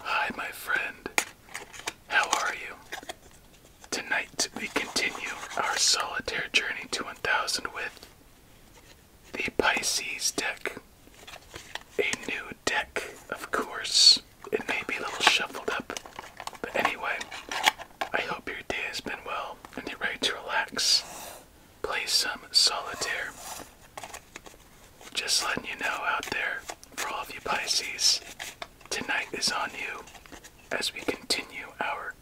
Hi, my friend. How are you? Tonight we continue our solitaire journey to 1000 with the Pisces deck. A new deck, of course. It may be a little shuffled up, but anyway, I hope your day has been well and you're ready to relax play some solitaire. Just letting you know out there, for all of you Pisces, tonight is on you as we continue our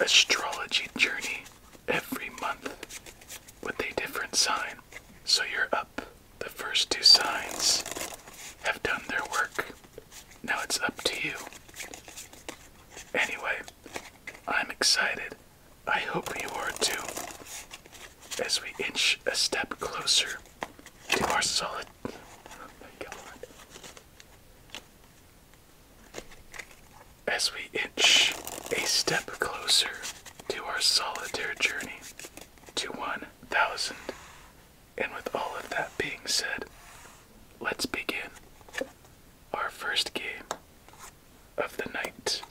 astrology journey every month with a different sign. So you're up. The first two signs have done their work. Now it's up to you. Anyway, I'm excited I hope you are too, as we inch a step closer to our solid. Oh as we inch a step closer to our solitaire journey to 1,000. And with all of that being said, let's begin our first game of the night.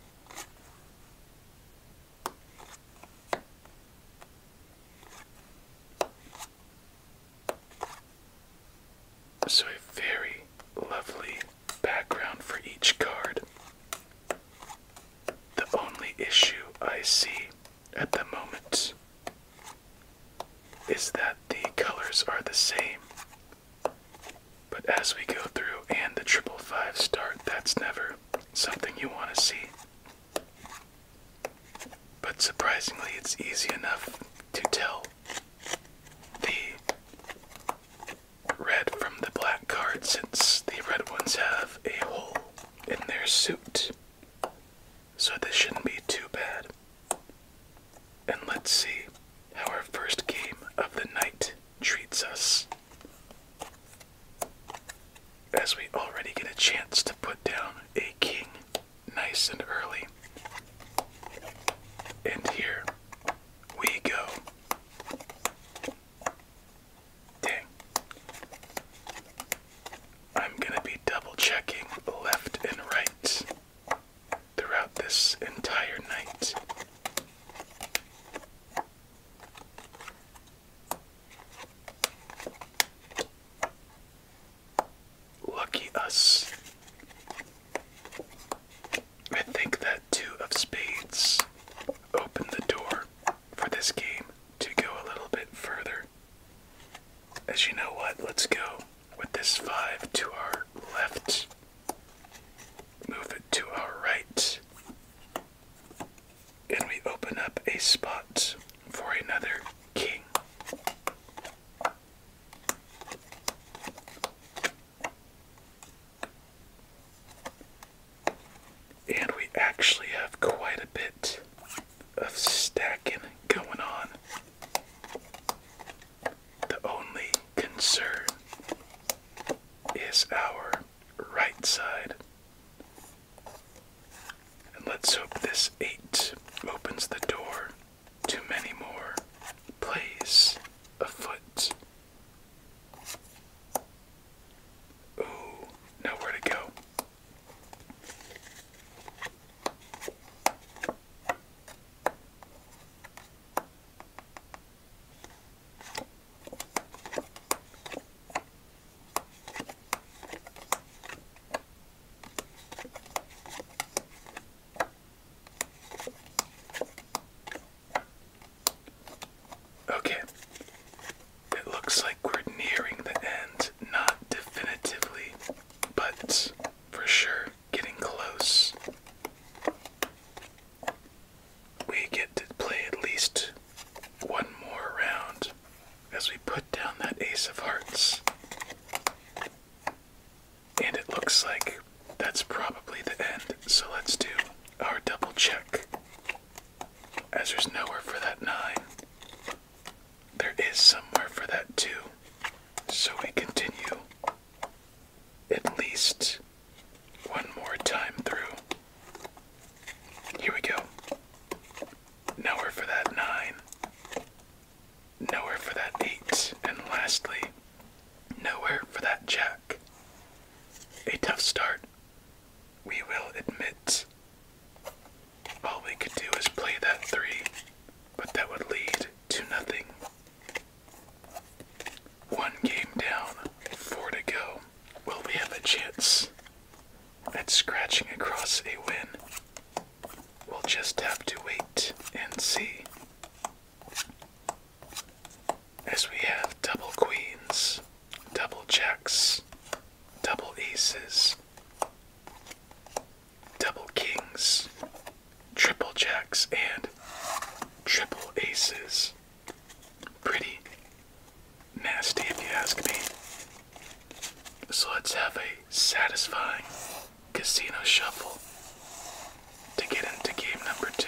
So, a very lovely background for each card. The only issue I see at the moment is that the colors are the same but as we go through and the triple five start, that's never something you want to see. But surprisingly, it's easy enough to tell the red from the black card since the red ones have a hole in their suit. So this shouldn't be too bad and let's see how our first game of the night treats us. As we already get a chance to put down a king nice and early. And here we go. Dang. I'm going to be double checking left and right throughout this entire night. Lucky us. I think that two of spades opened the door for this game to go a little bit further. As you know what, let's go with this 5 to our left, move it to our right, and we open up a spot for another king. And we actually have quite a bit of stacking going on. The only concern is our right side. And let's hope this 8 opens the door to many more plays afoot. Ooh, nowhere to go. Okay, it looks like we're nearing the end, not definitively, but for sure we getting close. We get to play at least one more round as we put down that ace of hearts. And it looks like that's probably the end, so let's do our double check. As there's nowhere for that nine, there is somewhere for that two, so we continue at least one more time through. Here we go. Nowhere for that nine. Nowhere for that eight. And lastly, nowhere for that jack. A tough start, we will admit. All we could do is play that three, but that would lead to nothing. One game down, four to go. Will we have a chance at scratching across a win? We'll just have to wait and see. As we have double queens, double jacks, double aces, double kings, triple jacks and triple aces. Pretty nasty, if you ask me. So let's have a satisfying casino shuffle to get into game number two.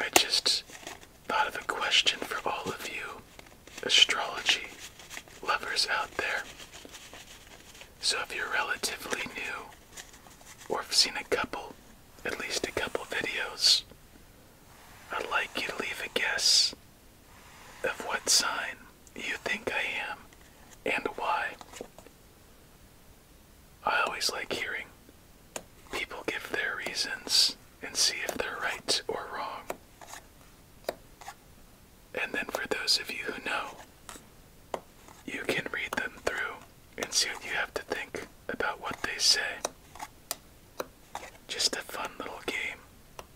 I just thought of a question for all of you astrology lovers out there. So if you're relatively new or have seen a couple, at least a couple videos, I'd like you to leave a guess of what sign you think I am and why. I always like hearing people give their reasons and see if they're right or wrong. And then for those of you who know, you can read them through and see what you have to think about what they say. Just a fun little game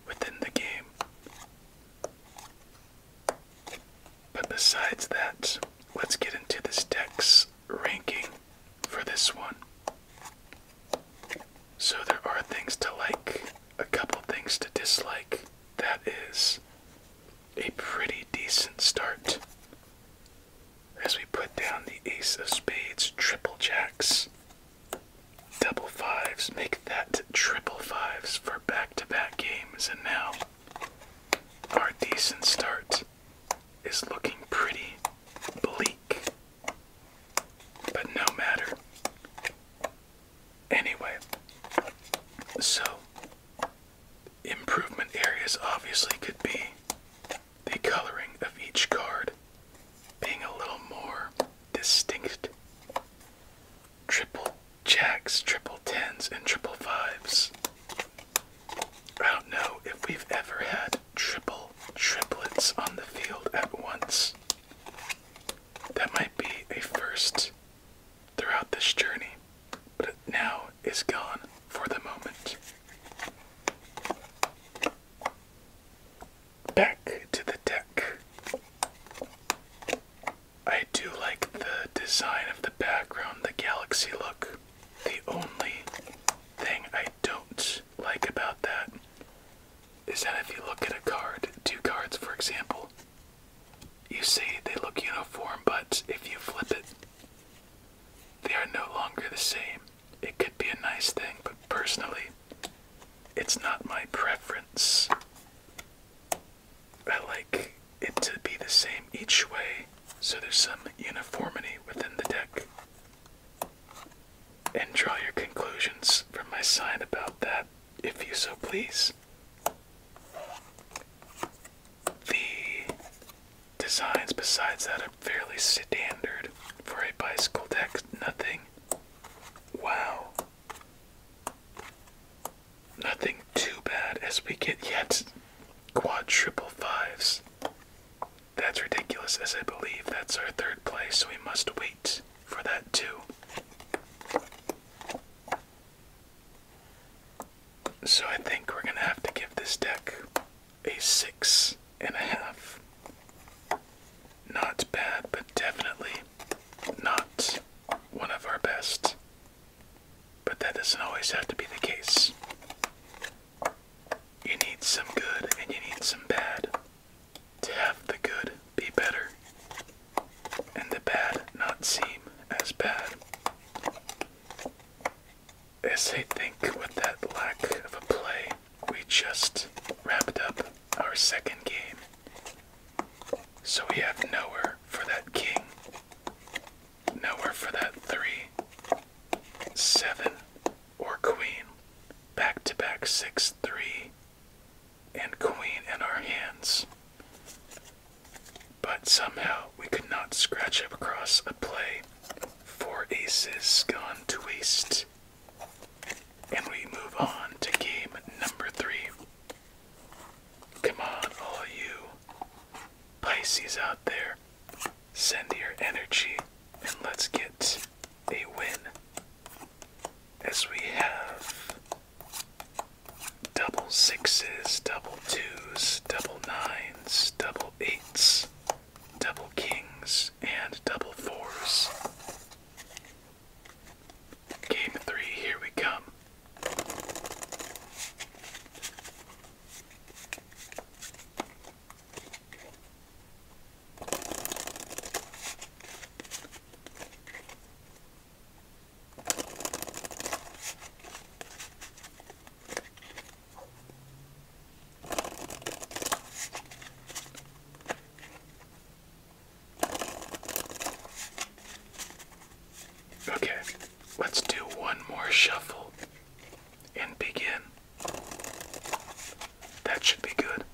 within the game. But besides that, let's get into this text ranking for this one. So there are things to like, a couple things to dislike. That is a pretty decent start. As we put down the ace of spades, triple jacks, double fives, make that triple fives for back to back games, and now our decent start is looking pretty bleak. But no matter. Anyway, so improvement areas obviously could be the coloring of each card being a little more distinct. Triple jacks, triple tens, and triple fives I don't know if we've ever had triple triplets on the field at once. That might be a first throughout this journey, but it now is gone for the moment. Back to the deck. I do like the design of the background, the galaxy look. The only thing I don't like about that is that if you look at a card, two cards for example, you see they look uniform, but if you flip it, they are no longer the same. It could be a nice thing, but personally, it's not my preference. I like it to be the same each way so there's some uniformity within the deck. And draw your conclusions from my sign about that, if you so please. The designs, besides that, are fairly standard for a bicycle deck. Nothing. Wow. Nothing too bad as we get yet quad triple fives. That's ridiculous, as I believe that's our third place, so we must wait for that too. So I think we're gonna have to give this deck a six and a half. Not bad, but definitely not one of our best. But that doesn't always have to be the case. You need some good and you need some bad to have the good be better and the bad not seem as bad. As I think with that lack of a play, we just wrapped up our second game. So we have nowhere for that king Nowhere for that three, seven, or queen. Back to back six, three, and queen in our hands. But somehow we could not scratch up across a play. Four aces gone to waste. And we move on to game number three. Come on, all you Pisces out there. Send your energy and let's get a win. As we have double sixes, double twos, double nines, double eights, double kings, and double fours. Game three, here we come. Okay, let's do one more shuffle and begin. That should be good.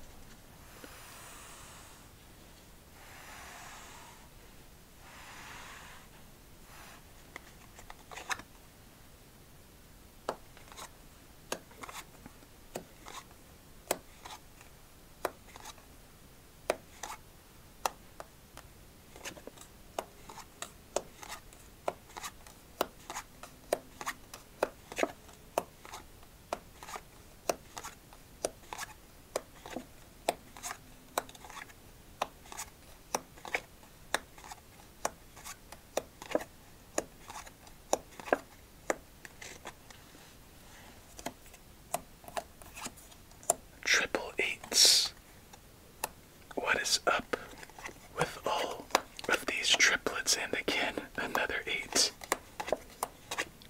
Triple eights what is up with all of these triplets? And again, another eight.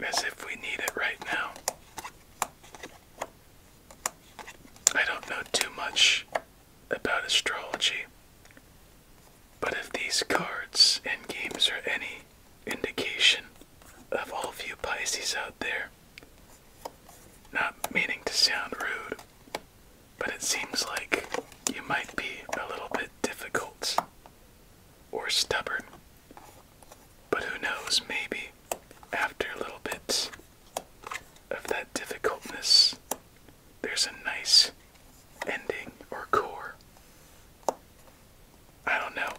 As if we need it right now. I don't know too much about astrology, but if these cards and games are any indication of all of you Pisces out there, not meaning to sound rude, but it seems like you might be a little bit difficult or stubborn. But who knows, maybe after a little bit of that difficultness, there's a nice ending or core. I don't know.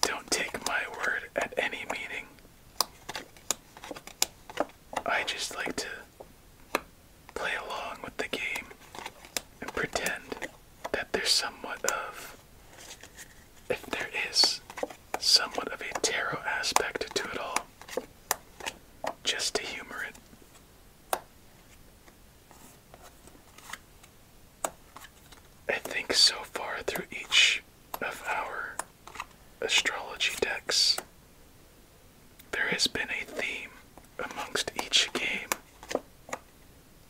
Don't take my word at any meaning I just like to play along with the game and pretend that there's somewhat of, if there is, somewhat of a tarot aspect to it all, just to humor it. I think so far through each of our astrology decks, there has been a theme amongst each game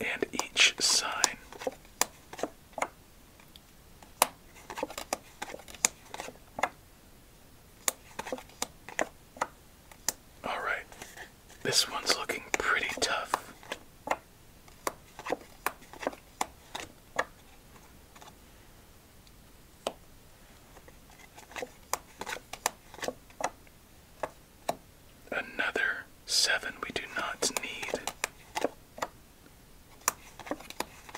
and each sign. Alright, this one's looking pretty tough. Another seven we do not need.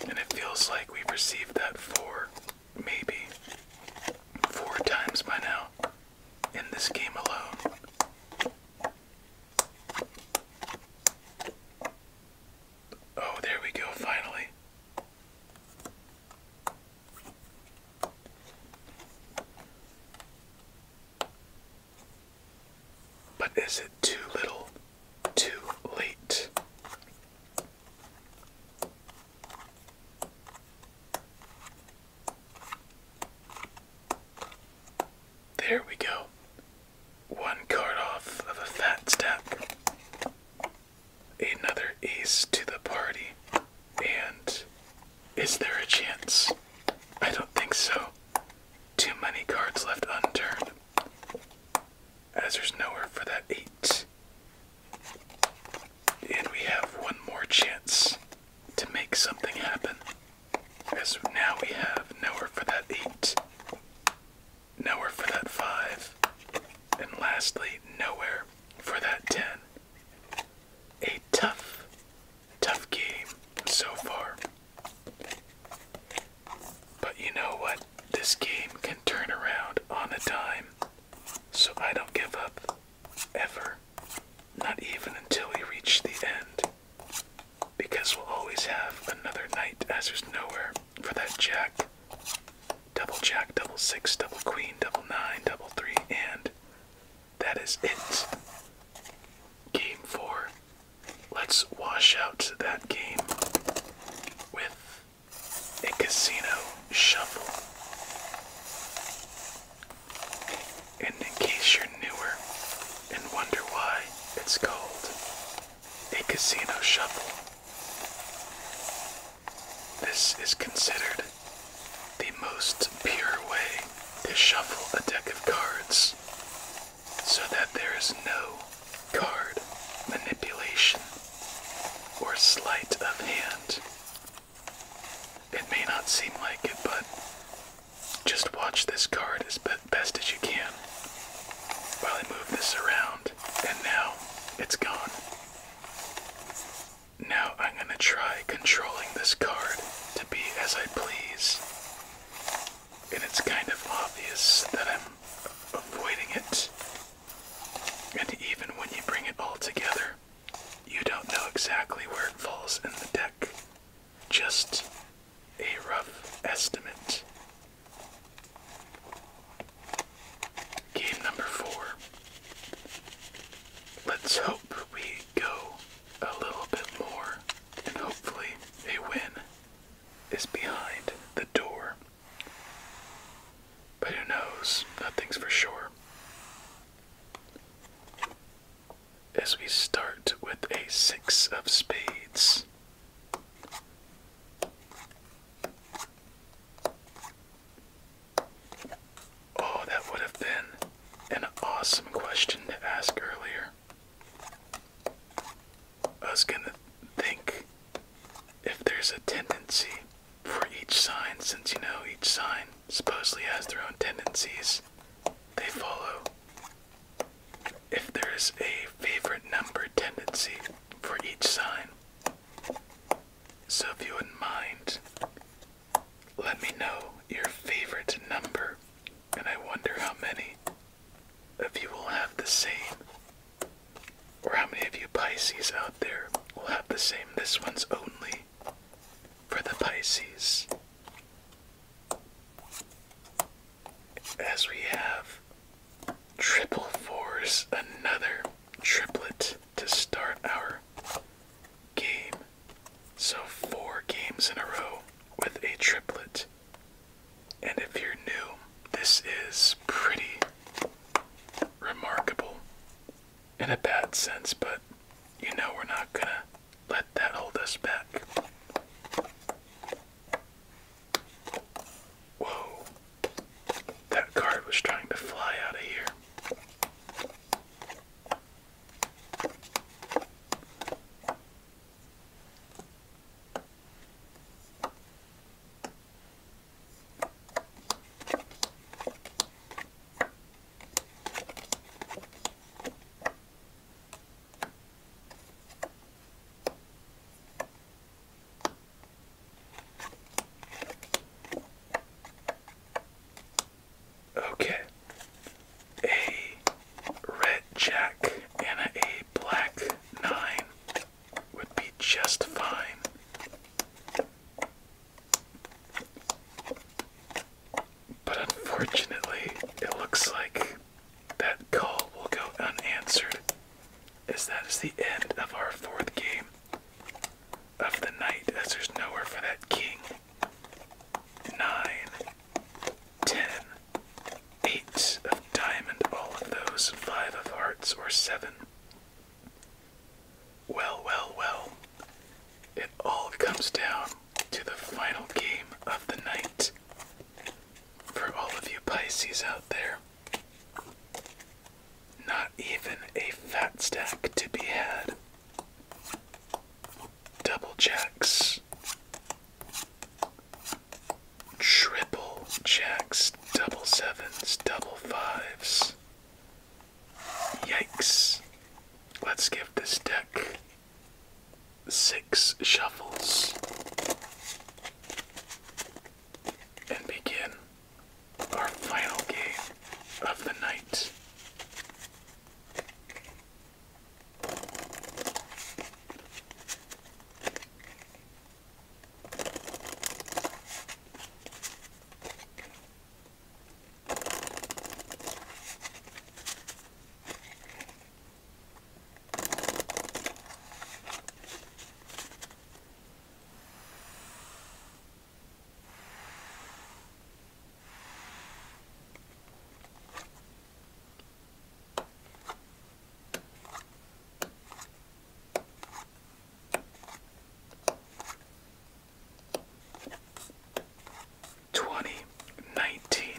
And it feels like we've received that four, maybe four times by now in this game alone. Oh, there we go, finally. But is it too little, too late? There we go one card off of a fat stack. Another ace to the party. And is there a chance? I don't think so. Too many cards left unturned, as there's nowhere for that eight. And we have one more chance to make something happen, as now we have nowhere for that eight nowhere for that five, and lastly, nowhere for that ten. A tough, tough game so far. But you know what? This game can turn around on a dime, so I don't give up ever, not even until we reach the end, because we'll always have another night as there's nowhere for that jack. Double jack, double six, double queen, double nine, double three, and that is it. Game four. Let's wash out that game with a casino shuffle. And in case you're newer and wonder why it's called a casino shuffle. This is considered the most pure way to shuffle a deck of cards so that there is no card manipulation or sleight of hand. It may not seem like it, but just watch this card as best best as you can while I move this around. And now it's gone. Now I'm going to try controlling this card to be as I please. And it's kind of obvious that I'm avoiding it. And even when you bring it all together, you don't know exactly where it falls in the deck. Just a rough estimate. Game number four. Let's hope we go a little bit more, and hopefully, a win is behind the door. But who knows? Nothing's for sure. As we start with a six of spades. Oh, that would have been an awesome question to ask earlier. I was gonna think if there's a tendency for each sign, since you know each sign supposedly has their own tendencies they follow if there is a favorite number tendency for each sign. So if you wouldn't mind, let me know your favorite number, and I wonder how many of you will have the same, or how many of you Pisces out there will have the same. This one's only for the Pisces. As we have triple fours, another triplet to start our game. So, four games in a row with a triplet. And if you're new, this is pretty remarkable in a bad sense, but you know we're not gonna let that hold us back. Whoa. That card was trying to fly out of here. Okay. A red jack and a black nine would be just fine. But unfortunately, it looks like that call will go unanswered, as that is the end of our fourth game of the night, as there's nowhere for that king. 9, of diamond, all of those, 5 of hearts, or 7. Well, well, well. It all comes down to the final game of the night. For all of you Pisces out there, not even a fat stack to be had. Double checks, triple checks, double sevens, double fives. Yikes. Let's give this deck six shuffles and begin our final game of the night. Twenty nineteen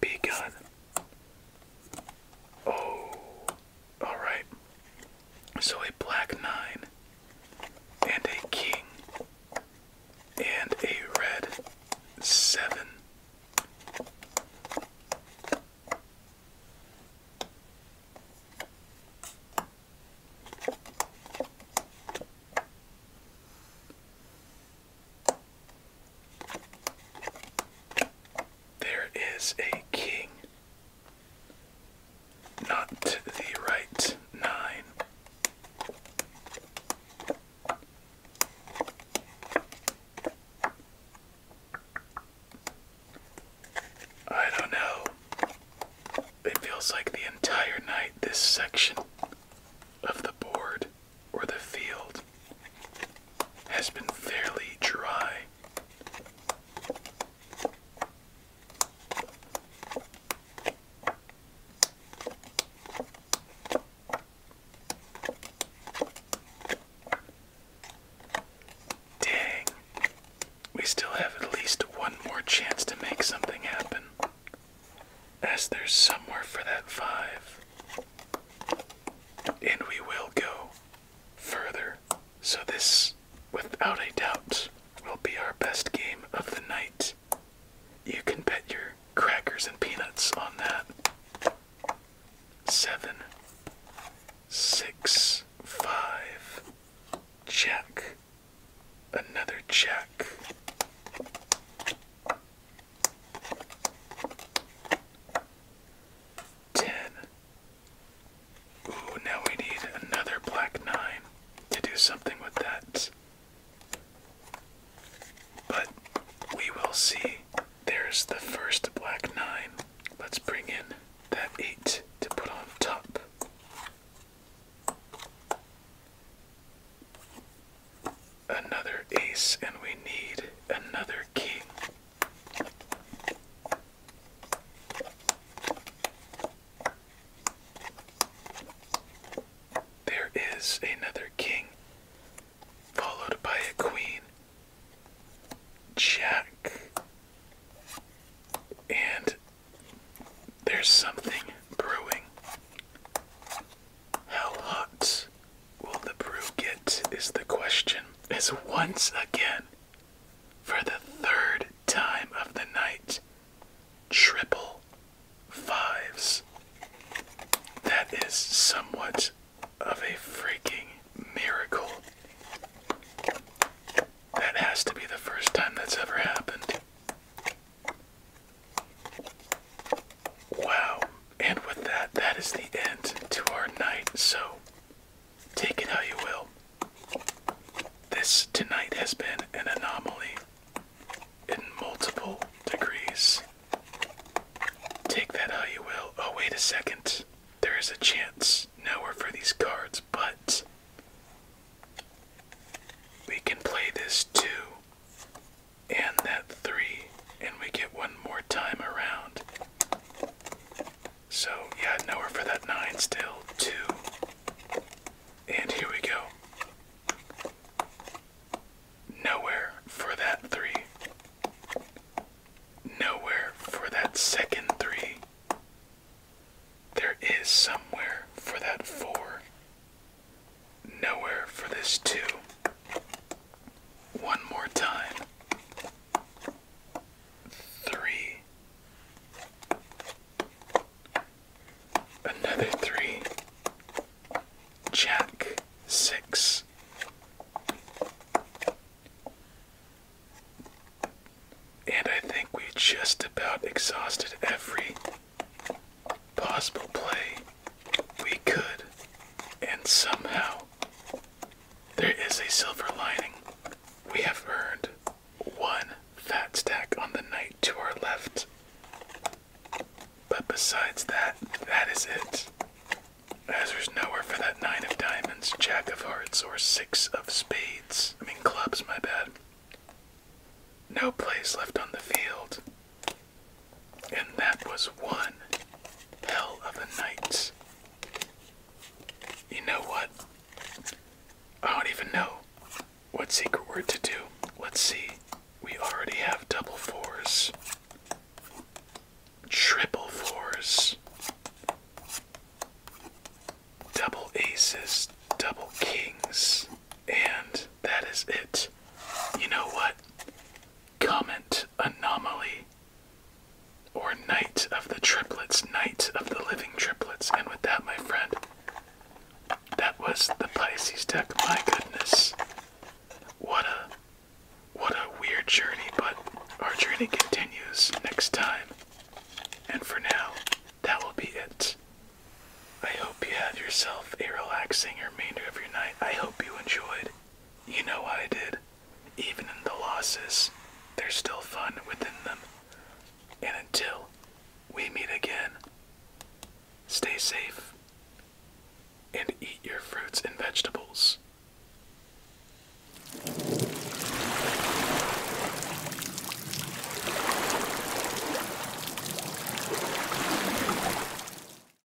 begun. Oh, alright. So a black nine, and a king, and a red seven. There is a king, not the right nine. I don't know. It feels like the entire night this section of the board or the field has been fairly dry. Dang, we still have at least one more chance to make something happen, as there's somewhere for that five and we will go further. So, this, without a doubt, will be our best game of the night. You can bet your crackers and peanuts on that. Seven, six, five, check, another check. Ten. Ooh, now we need another black nine to do something with that. But we will see. There's the first black nine. Let's bring in that eight to put on top another ace and we need another king. There is another king, followed by a queen, jack, and there's something brewing. How hot will the brew get? Is the question. As once again, for the third time of the night, triple fives. That is somewhat of a freaking miracle. That has to be the first time that's ever happened. Wow. And with that, that is the end to our night. So take it how you will. This tonight has been an anomaly in multiple degrees. Take that how you will. Oh, wait a second. There is a chance Now we're for these cards, but we can play this too and that three, and we get one more time around. So, yeah, nowhere for that nine still. Two. And here we go. Nowhere for that three. Nowhere for that second three. There is somewhere for that four. Nowhere for this two. One more time. Three. Another three. Jack six. And I think we just about exhausted every possible play we could, and somehow there is a silver lining. We have earned one fat stack on the night to our left. But besides that, that is it. As there's nowhere for that nine of diamonds, jack of hearts, or six of spades. I mean, clubs, my bad. No place left on the field. And that was one hell of a night. You know what? I don't even know what secret word to do. Let's see. We already have double fours, triple fours, double aces, double kings, and that is it. You know what? Comment Anomaly or Night of the Triplets, Night of the Living Triplets. And with that, my friend, that was the Pisces deck. My goodness. What a what a weird journey, but our journey continues next time. And for now, that will be it. I hope you have yourself a relaxing remainder of your night. I hope you enjoyed you know what I did. Even in the losses, there's still fun within them. And until we meet again, stay safe and eat your fruits and vegetables.